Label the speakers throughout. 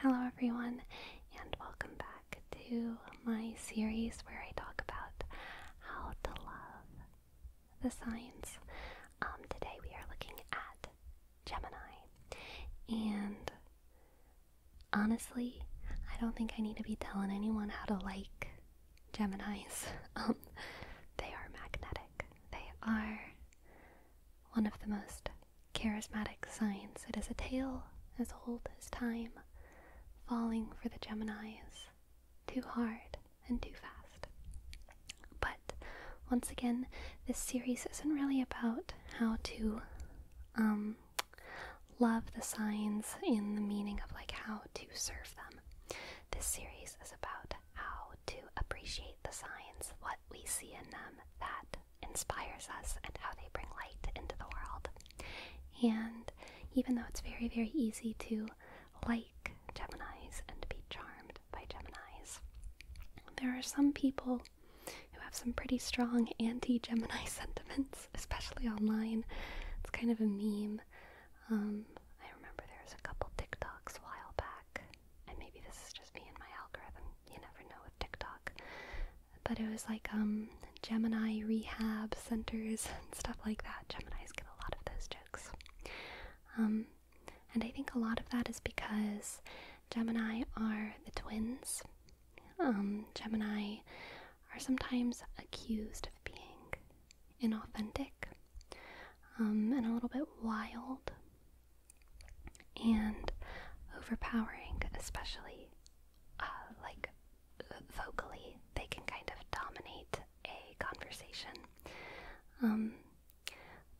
Speaker 1: Hello, everyone, and welcome back to my series where I talk about how to love the signs. Um, today we are looking at Gemini, and honestly, I don't think I need to be telling anyone how to like Geminis. Um, they are magnetic, they are one of the most charismatic signs. It is a tale as old as time, falling for the Geminis too hard and too fast. But once again, this series isn't really about how to um, love the signs in the meaning of like how to serve them. This series is about how to appreciate the signs, what we see in them that inspires us and how they bring light into the world. And even though it's very, very easy to like Geminis and be charmed by Geminis, there are some people who have some pretty strong anti Gemini sentiments, especially online. It's kind of a meme. Um, I remember there was a couple TikToks while back, and maybe this is just me and my algorithm. You never know with TikTok but it was like um, Gemini rehab centers and stuff like that. Geminis get a lot of those jokes. Um, and I think a lot of that is because Gemini are the twins. Um, Gemini are sometimes accused of being inauthentic and a little bit wild and overpowering, especially uh, like vocally. They can kind of dominate a conversation. Um,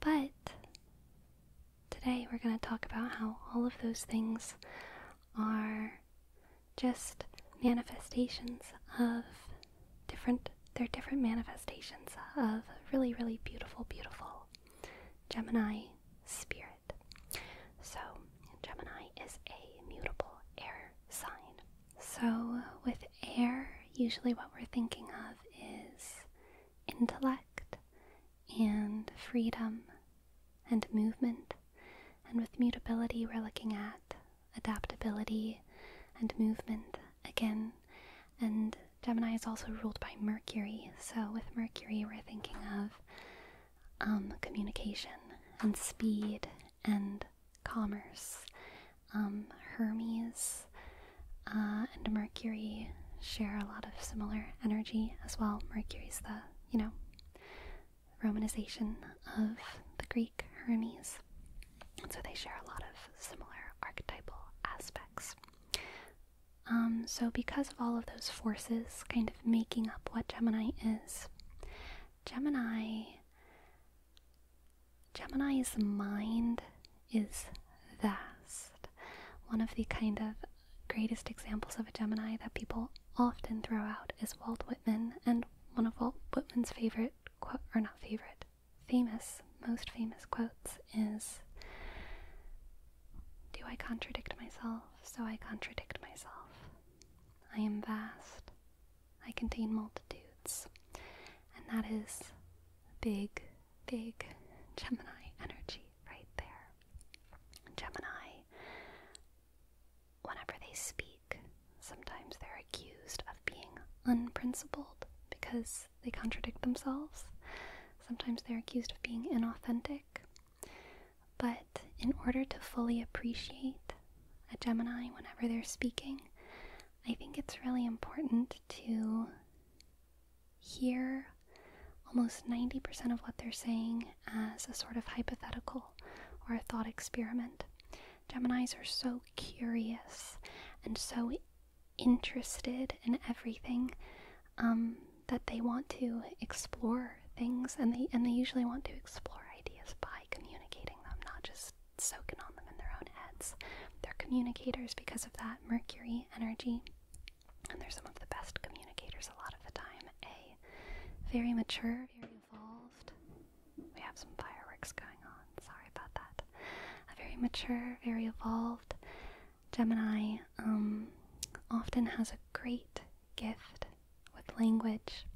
Speaker 1: but today we're going to talk about how all of those things are just manifestations of different they're different manifestations of really really beautiful beautiful gemini spirit so, Gemini is a mutable air sign. So, with air, usually what we're thinking of is intellect and freedom and movement. And with mutability, we're looking at adaptability and movement again. And Gemini is also ruled by Mercury, so with Mercury, we're thinking of um, communication and speed and commerce. Um, Hermes uh, and Mercury share a lot of similar energy as well. Mercury's the, you know, Romanization of the Greek Hermes. And so they share a lot of similar archetypal aspects. Um, so, because of all of those forces kind of making up what Gemini is, Gemini. Gemini's mind is vast. One of the kind of greatest examples of a Gemini that people often throw out is Walt Whitman, and one of Walt Whitman's favorite or not favorite, famous, most famous quotes is do I contradict myself? So I contradict myself. I am vast. I contain multitudes. And that is big, big Gemini energy right there. Gemini, whenever they speak, sometimes they're accused of being unprincipled because they contradict themselves. Sometimes they're accused of being inauthentic but in order to fully appreciate a Gemini whenever they're speaking, I think it's really important to hear almost 90% of what they're saying as a sort of hypothetical or a thought experiment. Geminis are so curious and so interested in everything um, that they want to explore things and they and they usually want to explore ideas by communicating them, not just soaking on them in their own heads. They're communicators because of that Mercury energy. And they're some of the best communicators a lot of the time. A very mature, very evolved. We have some fireworks going on. Sorry about that. A very mature, very evolved Gemini um often has a great gift with language.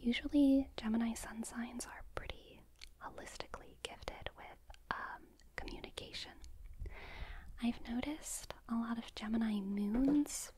Speaker 1: Usually, Gemini sun signs are pretty holistically gifted with um, communication. I've noticed a lot of Gemini moons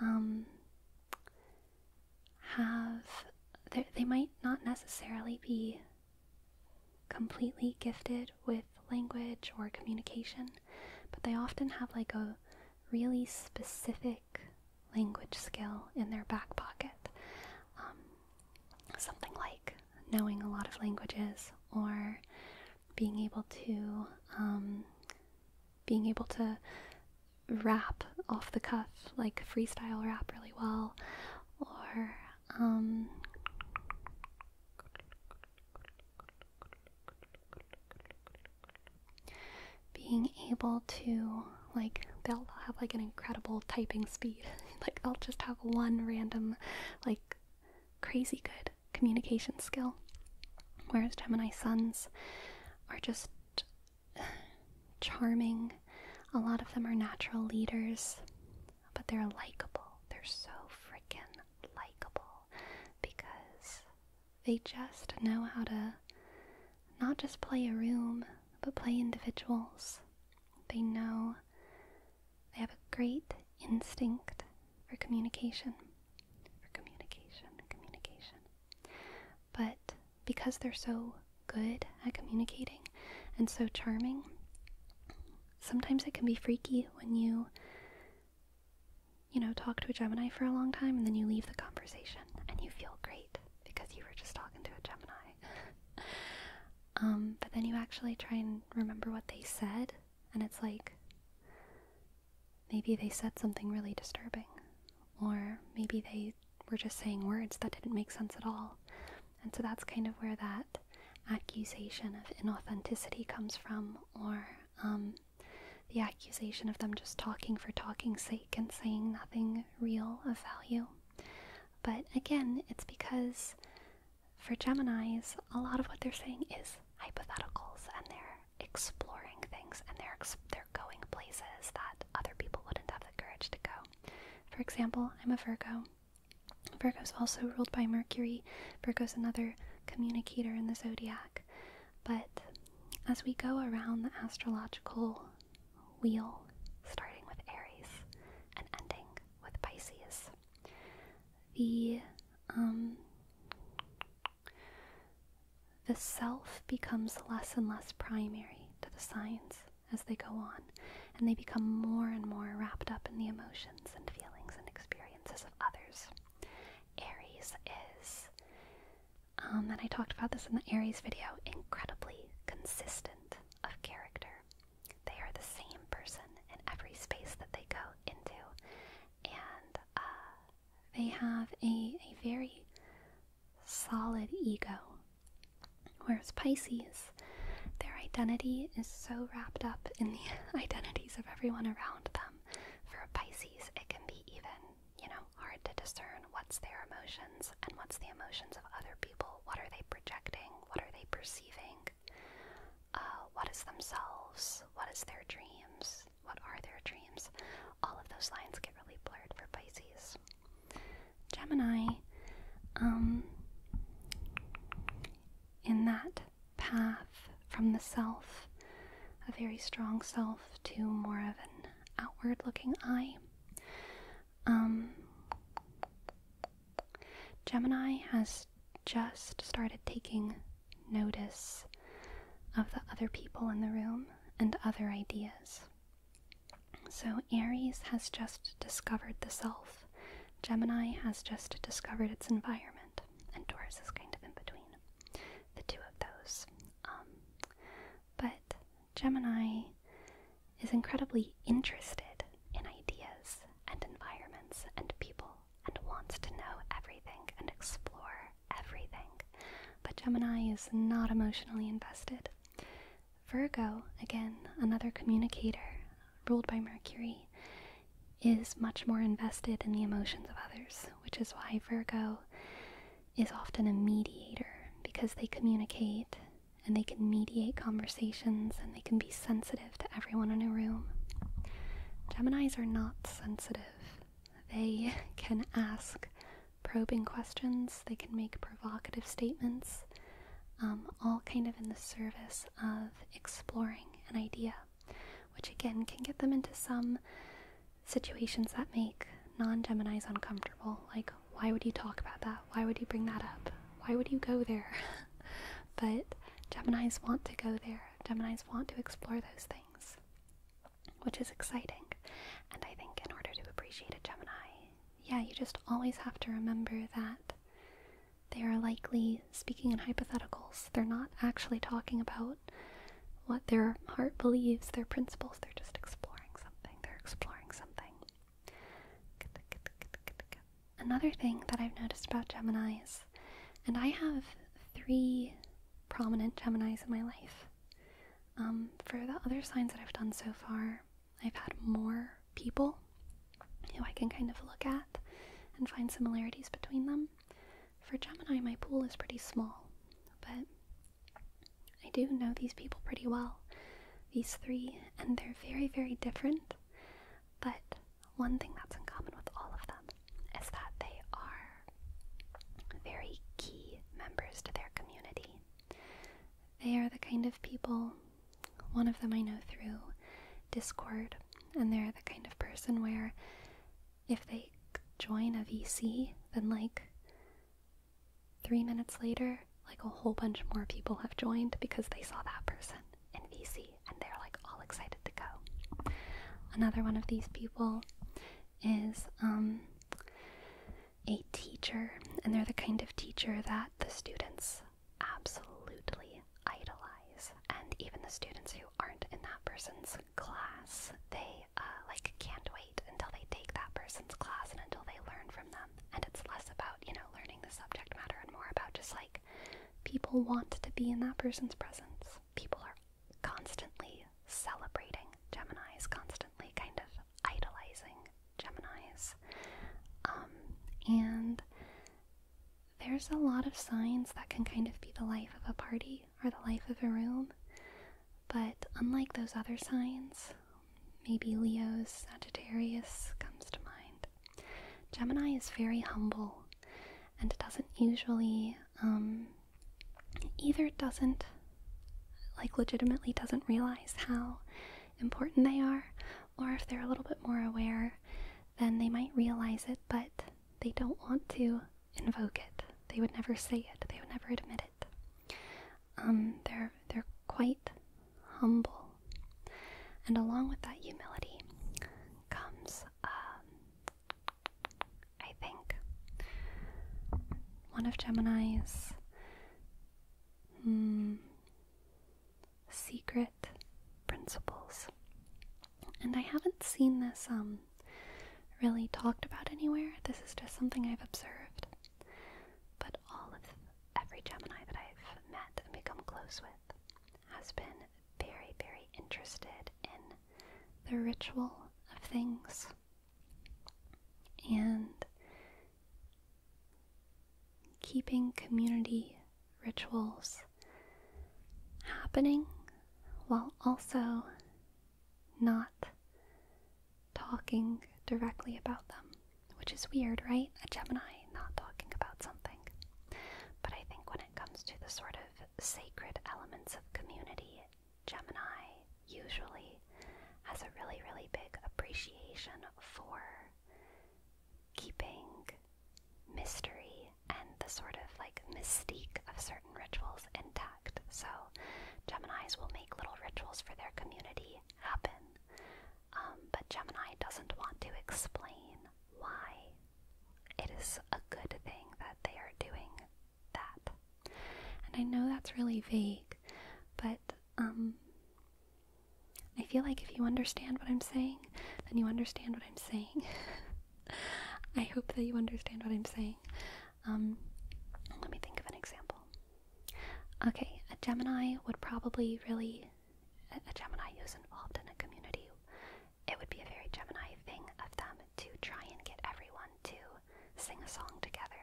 Speaker 1: um, have, they might not necessarily be completely gifted with language or communication, but they often have like a really specific language skill in their back pocket. Um, something like knowing a lot of languages or being able to um, being able to rap off the cuff like freestyle rap really well or um, being able to like they'll have like an incredible typing speed like i'll just have one random like crazy good communication skill whereas gemini sons are just charming a lot of them are natural leaders but they're likable they're so freaking likable because they just know how to not just play a room, but play individuals. They know they have a great instinct for communication. For communication, communication. But because they're so good at communicating and so charming, sometimes it can be freaky when you you know, talk to a Gemini for a long time and then you leave the conversation and you feel great because you were just talking to a Gemini. Um, but then you actually try and remember what they said and it's like maybe they said something really disturbing or maybe they were just saying words that didn't make sense at all. And so that's kind of where that accusation of inauthenticity comes from or um, the accusation of them just talking for talking's sake and saying nothing real of value. But again, it's because for Geminis, a lot of what they're saying is hypotheticals and they're exploring things and they're, they're going places that other people wouldn't have the courage to go. For example, I'm a Virgo. Virgo's also ruled by Mercury tree. goes another communicator in the zodiac. But as we go around the astrological wheel, starting with Aries and ending with Pisces, the um, the self becomes less and less primary to the signs as they go on, and they become more and more wrapped up in the emotions and feelings and experiences of others. Aries is, um, and I talked about this in the Aries video, incredibly consistent of character. They are the same person in every space that they go into, and uh, they have a, a very solid ego. Whereas Pisces, their identity is so wrapped up in the identities of everyone around them for Pisces, it can be even, you know, hard to discern what's their emotions and what's the emotions of other people. What are they projecting? What are they perceiving? Uh, what is themselves? What is their dreams? What are their dreams? All of those lines get really blurred for Pisces. Gemini, um, in that path from the self, a very strong self, to more of an outward looking I. Um, Gemini has just started taking notice of the other people in the room and other ideas. So, Aries has just discovered the self, Gemini has just discovered its environment, and Taurus is kind of in between the two of those. Um, but Gemini is incredibly interested in ideas and environments and people and wants to know everything and explore everything. But Gemini is not emotionally invested. Virgo, again, another communicator ruled by Mercury, is much more invested in the emotions of others, which is why Virgo is often a mediator because they communicate and they can mediate conversations and they can be sensitive to everyone in a room. Geminis are not sensitive. They can ask probing questions, they can make provocative statements, um, all kind of in the service of exploring an idea which again can get them into some situations that make non Geminis uncomfortable. Like, why would you talk about that? Why would you bring that up? Why would you go there? but Geminis want to go there, Geminis want to explore those things, which is exciting. And I think in order to appreciate a Gemini, yeah, you just always have to remember that they are likely speaking in hypotheticals. They're not actually talking about what their heart believes, their principles. They're just exploring something. They're exploring something. Another thing that I've noticed about Geminis, and I have three prominent Geminis in my life. Um, for the other signs that I've done so far, I've had more people who I can kind of look at and find similarities between them. For Gemini, my pool is pretty small, but I do know these people pretty well, these three, and they're very, very different. But one thing that's in common with all of them is that they are very key members to their community. They are the kind of people, one of them I know through Discord, and they're the kind of person where if they join a VC, then like three minutes later, like a whole bunch more people have joined because they saw that person in VC and they're like all excited to go. Another one of these people is um, a teacher, and they're the kind of teacher that the students absolutely idolize, and even the students who aren't in that person's class, they uh, like can't wait until they take that person's class and until they learn from them. And it's less about you know learning the subject matter and more about just like people want to be in that person's presence. People are constantly celebrating Gemini's, constantly kind of idolizing Gemini's, um, and there's a lot of signs that can kind of be the life of a party are the life of a room, but unlike those other signs, maybe Leo's Sagittarius comes to mind. Gemini is very humble and doesn't usually, um, either doesn't, like, legitimately doesn't realize how important they are, or if they're a little bit more aware, then they might realize it, but they don't want to invoke it. They would never say it. They would never admit it. Um, they're they're quite humble, and along with that humility comes, um, I think, one of Gemini's hmm, secret principles. And I haven't seen this um really talked about anywhere. This is just something I've observed. But all of every Gemini that I've met and become close with has been very, very interested in the ritual of things and keeping community rituals happening while also not talking directly about them, which is weird, right? A Gemini not talking about something. But I think when it comes to the sort of sacred elements of community, Gemini usually has a really, really big appreciation for keeping mystery and the sort of like mystique of certain rituals intact. So, Geminis will make little rituals for their community happen, um, but Gemini doesn't want to explain why it is a good thing that they are doing that. And I know that's really vague, but um, I feel like if you understand what I'm saying, then you understand what I'm saying. I hope that you understand what I'm saying. Um, let me think of an example. Okay, a Gemini would probably really. A, Gemini who's involved in a community, it would be a very Gemini thing of them to try and get everyone to sing a song together.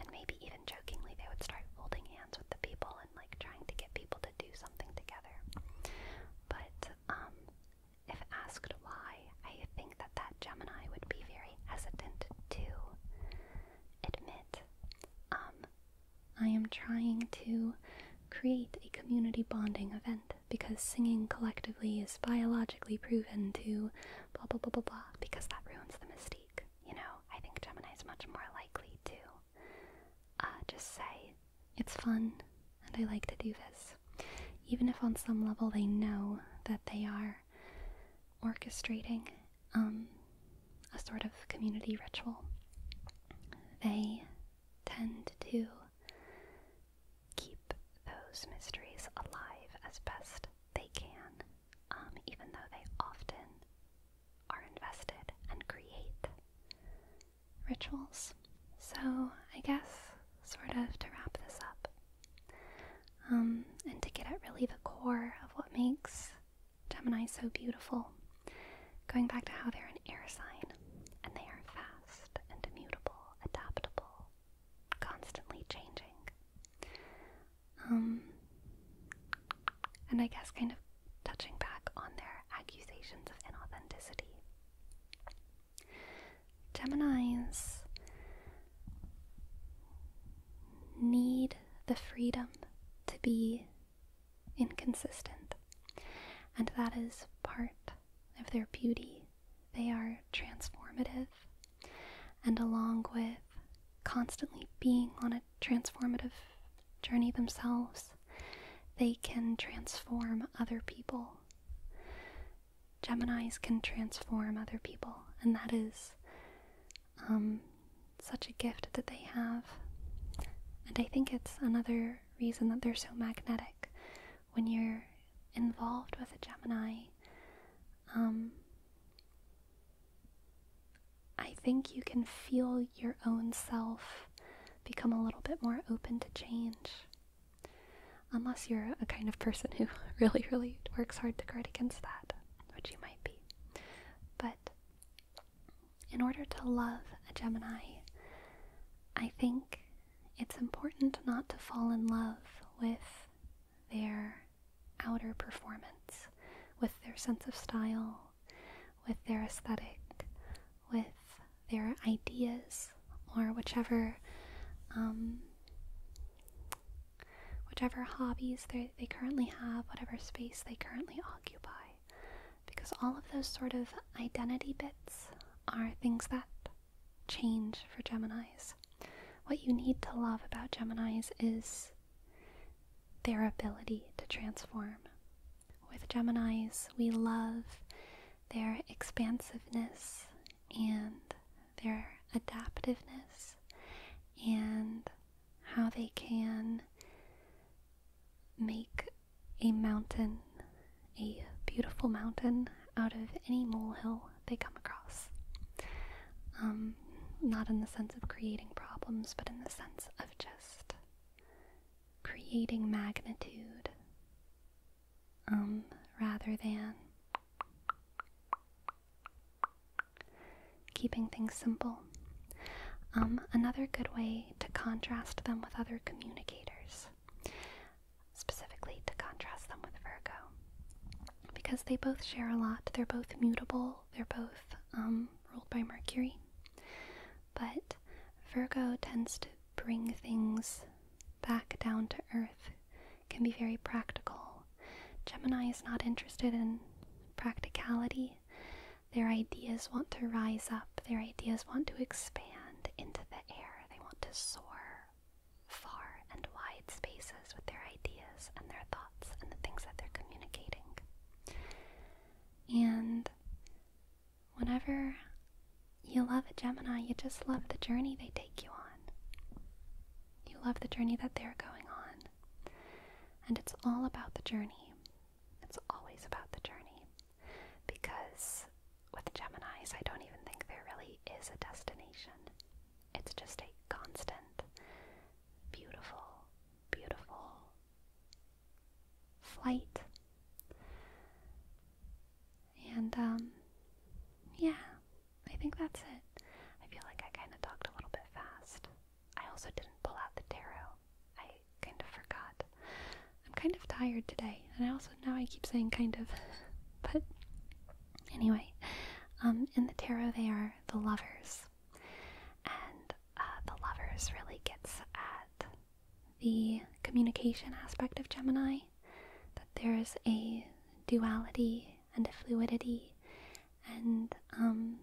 Speaker 1: And maybe even jokingly, they would start holding hands with the people and like trying to get people to do something together. But um, if asked why, I think that that Gemini would be very hesitant to admit, um, I am trying to create a community bonding event because singing collectively is biologically proven to blah blah blah blah blah because that ruins the mystique. You know, I think Gemini is much more likely to uh, just say, it's fun, and I like to do this. Even if on some level they know that they are orchestrating um, a sort of community ritual, they tend to keep those mysteries alive as best they can, um, even though they often are invested and create rituals. So, I guess, sort of to wrap this up, um, and to get at really the core of what makes Gemini so beautiful. Going back to how they're an air sign, and they are fast and mutable, adaptable, constantly changing. Um, and I guess kind of touching back on their accusations of inauthenticity. Geminis need the freedom to be inconsistent, and that is part of their beauty. They are transformative, and along with constantly being on a transformative journey themselves, they can transform other people. Geminis can transform other people, and that is um, such a gift that they have. And I think it's another reason that they're so magnetic. When you're involved with a Gemini, um, I think you can feel your own self become a little bit more open to change Unless you're a kind of person who really, really works hard to guard against that, which you might be. But in order to love a Gemini, I think it's important not to fall in love with their outer performance, with their sense of style, with their aesthetic, with their ideas or whichever um, whichever hobbies they they currently have, whatever space they currently occupy, because all of those sort of identity bits are things that change for Geminis. What you need to love about Geminis is their ability to transform. With Geminis, we love their expansiveness and their adaptiveness and how they can make a mountain, a beautiful mountain, out of any molehill they come across. Um, not in the sense of creating problems, but in the sense of just creating magnitude um, rather than Keeping things simple. Um, another good way to contrast them with other communicators, specifically to contrast them with Virgo, because they both share a lot. They're both mutable, they're both um, ruled by Mercury. But Virgo tends to bring things back down to earth can be very practical. Gemini is not interested in practicality. Their ideas want to rise up, their ideas want to expand into the air, they want to soar far and wide spaces with their ideas and their thoughts and the things that they're communicating. And whenever you love a Gemini, you just love the journey they take you on. You love the journey that they're going on. And it's all about the journey. It's always about the journey. Because with Geminis, I don't even think there really is a destination. It's just a constant, beautiful, beautiful flight. And um, yeah, I think that's it. I feel like I kind of talked a little bit fast. I also didn't pull out the tarot. I kind of forgot. I'm kind of tired today, and I also now I keep saying kind of, but anyway, um, in the tarot they are the lovers, and uh, the lovers really gets at the communication aspect of Gemini. That there is a duality and a fluidity and um,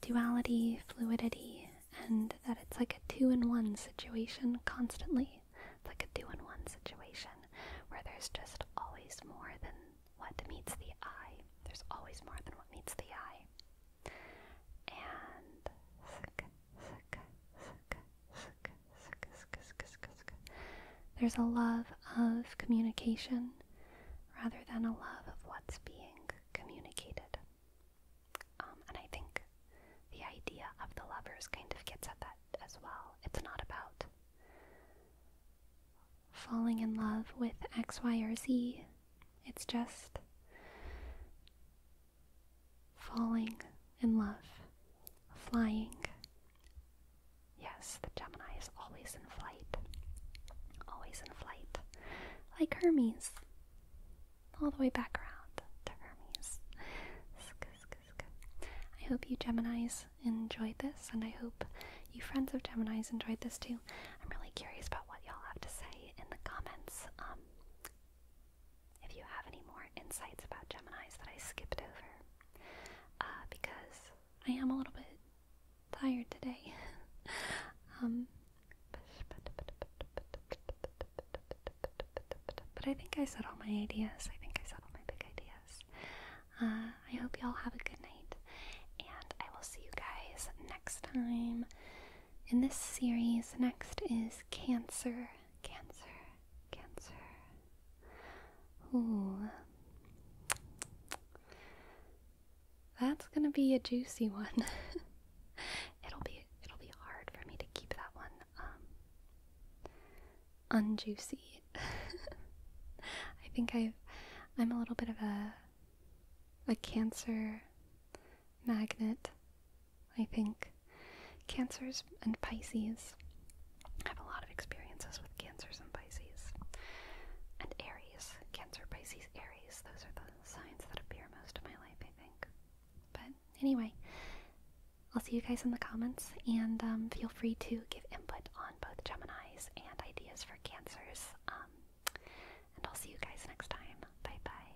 Speaker 1: duality, fluidity, and that it's like a two in one situation constantly. It's like a two in one situation where there's just always more than what meets the eye. There's always more than what meets the eye. And there's a love of communication rather than a love of what's being communicated. Um, and I think the idea of the lovers kind of gets at that as well. It's not about falling in love with X, Y, or Z. It's just falling in love, flying. Yes, the Gemini is always in flight, always in flight, like Hermes, all the way back around to Hermes. I hope you Geminis enjoyed this, and I hope you friends of Geminis enjoyed this too. I'm really curious about what y'all have to say in the comments. Um, if you have any more insights about Geminis that I skipped over, uh, because I am a little bit tired today. Um, but I think I said all my ideas. I think I said all my big ideas. Uh, I hope you all have a good night, and I will see you guys next time. In this series, next is Cancer. Cancer. Cancer. Ooh. That's gonna be a juicy one. it'll be it'll be hard for me to keep that one um unjuicy. I think I've I'm a little bit of a a cancer magnet. I think Cancers and Pisces have a lot of experiences with Cancers and Pisces. And Aries, Cancer, Pisces, Aries, those are the signs that appear most of my life, I think. But anyway, I'll see you guys in the comments and um, feel free to give input on both Geminis and ideas for Cancers. Um, and I'll see you guys next time. Bye bye.